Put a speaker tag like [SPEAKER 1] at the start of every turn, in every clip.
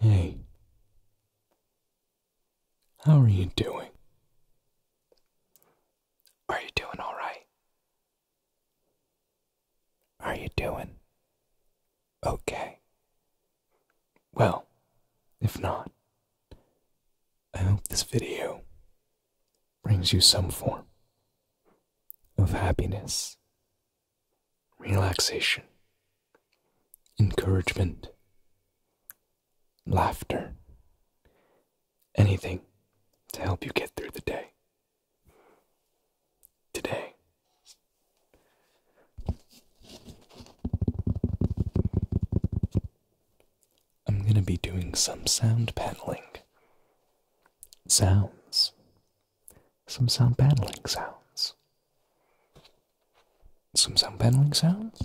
[SPEAKER 1] Hey, how are you doing? Are you doing all right? Are you doing okay? Well, if not, I hope this video brings you some form of happiness relaxation, encouragement, laughter, anything to help you get through the day. Today. I'm going to be doing some sound paneling. Sounds some sound paneling sounds. Some sound paneling sounds?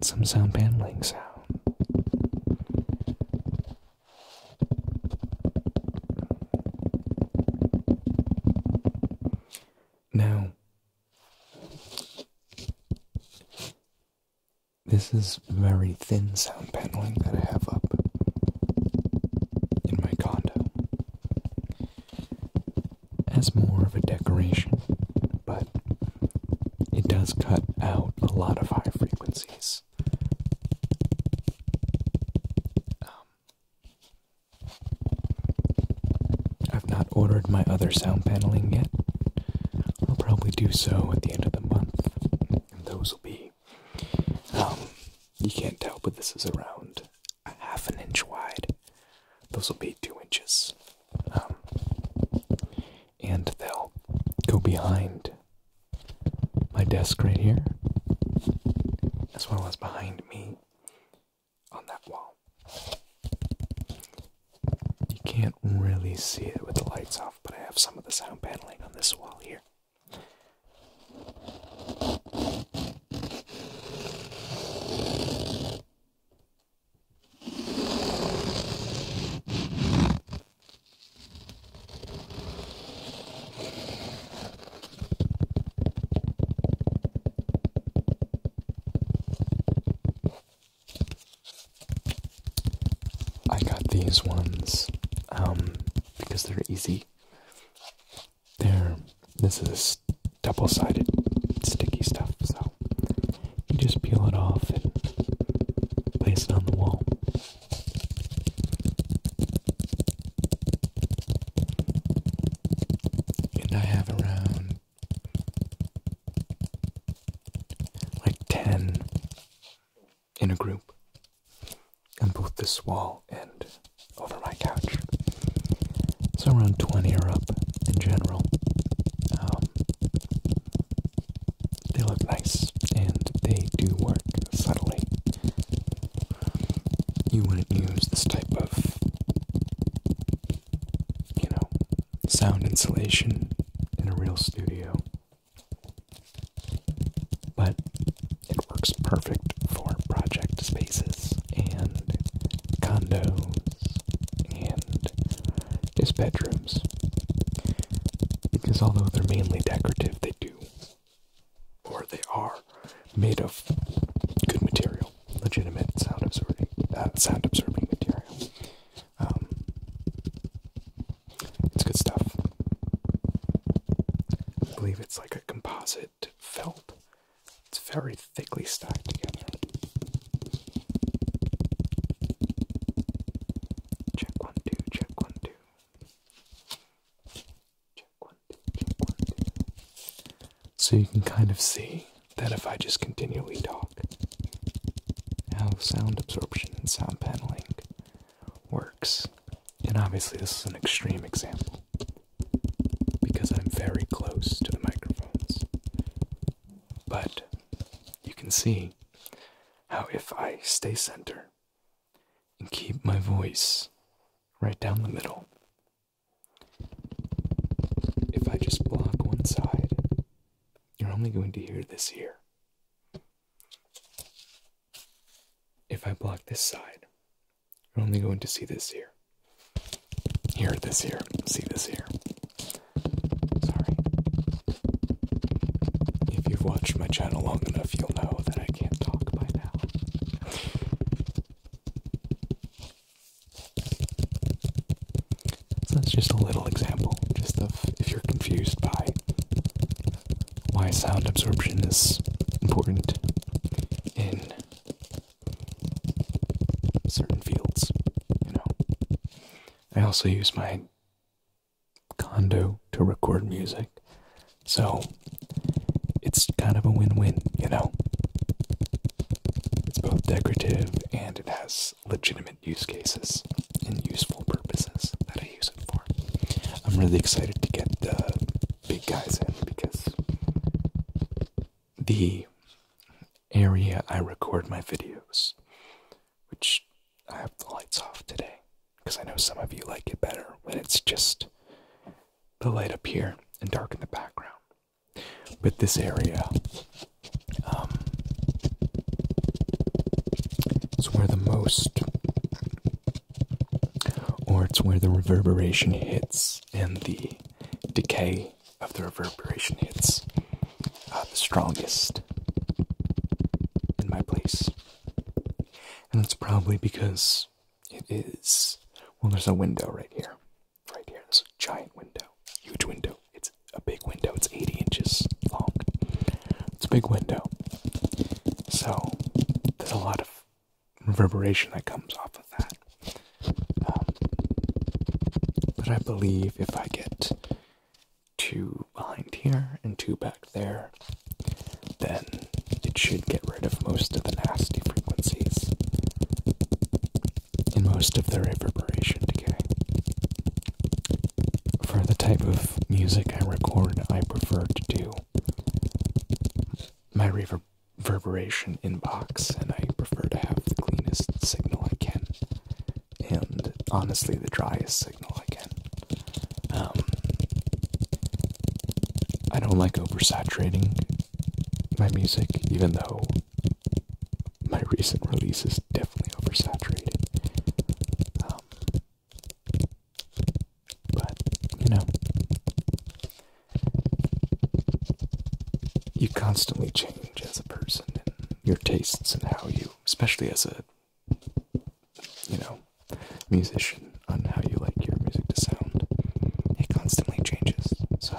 [SPEAKER 1] Some sound paneling sounds. Now, this is very thin sound paneling that I have up in my condo as more of a decoration, but it does cut out a lot of high frequencies. Um, I've not ordered my other sound paneling yet. I'll probably do so at the end of the month, and those will be um, you can't tell, but this is around a half an inch wide. Those will be two inches. Um, and they'll go behind my desk right here, as well as behind me on that wall. You can't really see it with the lights off, but I have some of the sound paneling on this wall here. I got these ones um, because they're easy there, this is double sided sticky stuff, so you just peel it off and place it on the wall. And I have around like 10 in a group on both this wall and over my couch. So around 20 or up in general. Um, they look nice and they do work subtly. You wouldn't use this type of, you know, sound insulation in a real studio but it works perfect for project spaces and condos and just bedrooms. Because although they're mainly decorative, they do, or they are, made of good material, legitimate sound absorbing, uh, sound absorbing material. Um, it's good stuff. I believe it's like a composite felt. It's very thickly stacked together. Check one, two, check one, two. Check one, two, check one, two. So you can kind of see that if I just continually talk, how sound absorption and sound paneling works and obviously, this is an extreme example because I'm very close to the microphones. But you can see how if I stay center and keep my voice right down the middle, if I just block one side, you're only going to hear this here. If I block this side, you're only going to see this here. Here, this here, see this here. Sorry. If you've watched my channel long enough, you'll know that I can't talk by now. so that's just a little example, just of if you're confused by why sound absorption is important in certain fields, you know. I also use my condo to record music, so it's kind of a win win, you know. It's both decorative and it has legitimate use cases and useful purposes that I use it for. I'm really excited to get the big guys in because the area I record my videos, which I have the lights off today because I know some of you like it better when it's just the light up here and dark in the background. But this area um, is where the most or it's where the reverberation hits and the decay of the reverberation hits uh, the strongest in my place. And that's probably because it is. Well, there's a window right here. Right here. There's a giant window. Huge window. It's a big window. It's 80 inches long. It's a big window. So, there's a lot of reverberation that comes off of that. Um, but I believe if I get two behind here and two back there, then it should get rid of most of the nasty frequencies and most of the reverberation decay. For the type of music I record, I prefer to do my reverberation inbox, and I prefer to have the cleanest signal I can, and honestly, the driest signal I can. Um, I don't like oversaturating my music, even though my recent release is definitely oversaturated. Um, but, you know, you constantly change as a person and your tastes and how you, especially as a, you know, musician, on how you like your music to sound. It constantly changes, so.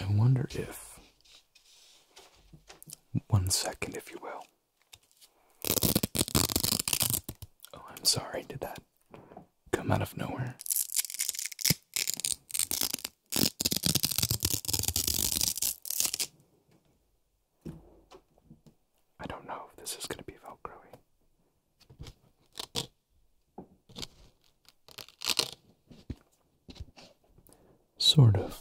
[SPEAKER 1] I wonder if, one second, if you will. Oh, I'm sorry, did that come out of nowhere? I don't know if this is going to be Velcroy. Sort of.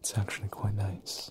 [SPEAKER 1] It's actually quite nice.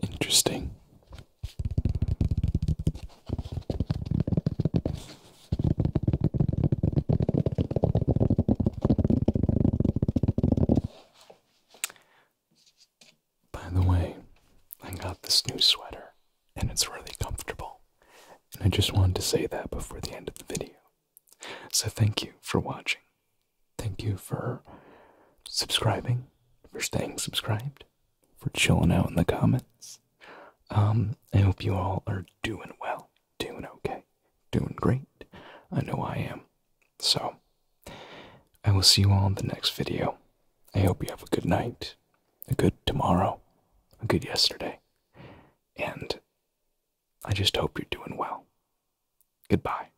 [SPEAKER 1] Interesting. By the way, I got this new sweater and it's really comfortable. And I just wanted to say that before the end of the video. So thank you for watching. Thank you for subscribing, for staying subscribed, for chilling out in the comments. Um, I hope you all are doing well, doing okay, doing great. I know I am. So, I will see you all in the next video. I hope you have a good night, a good tomorrow, a good yesterday, and I just hope you're doing well. Goodbye.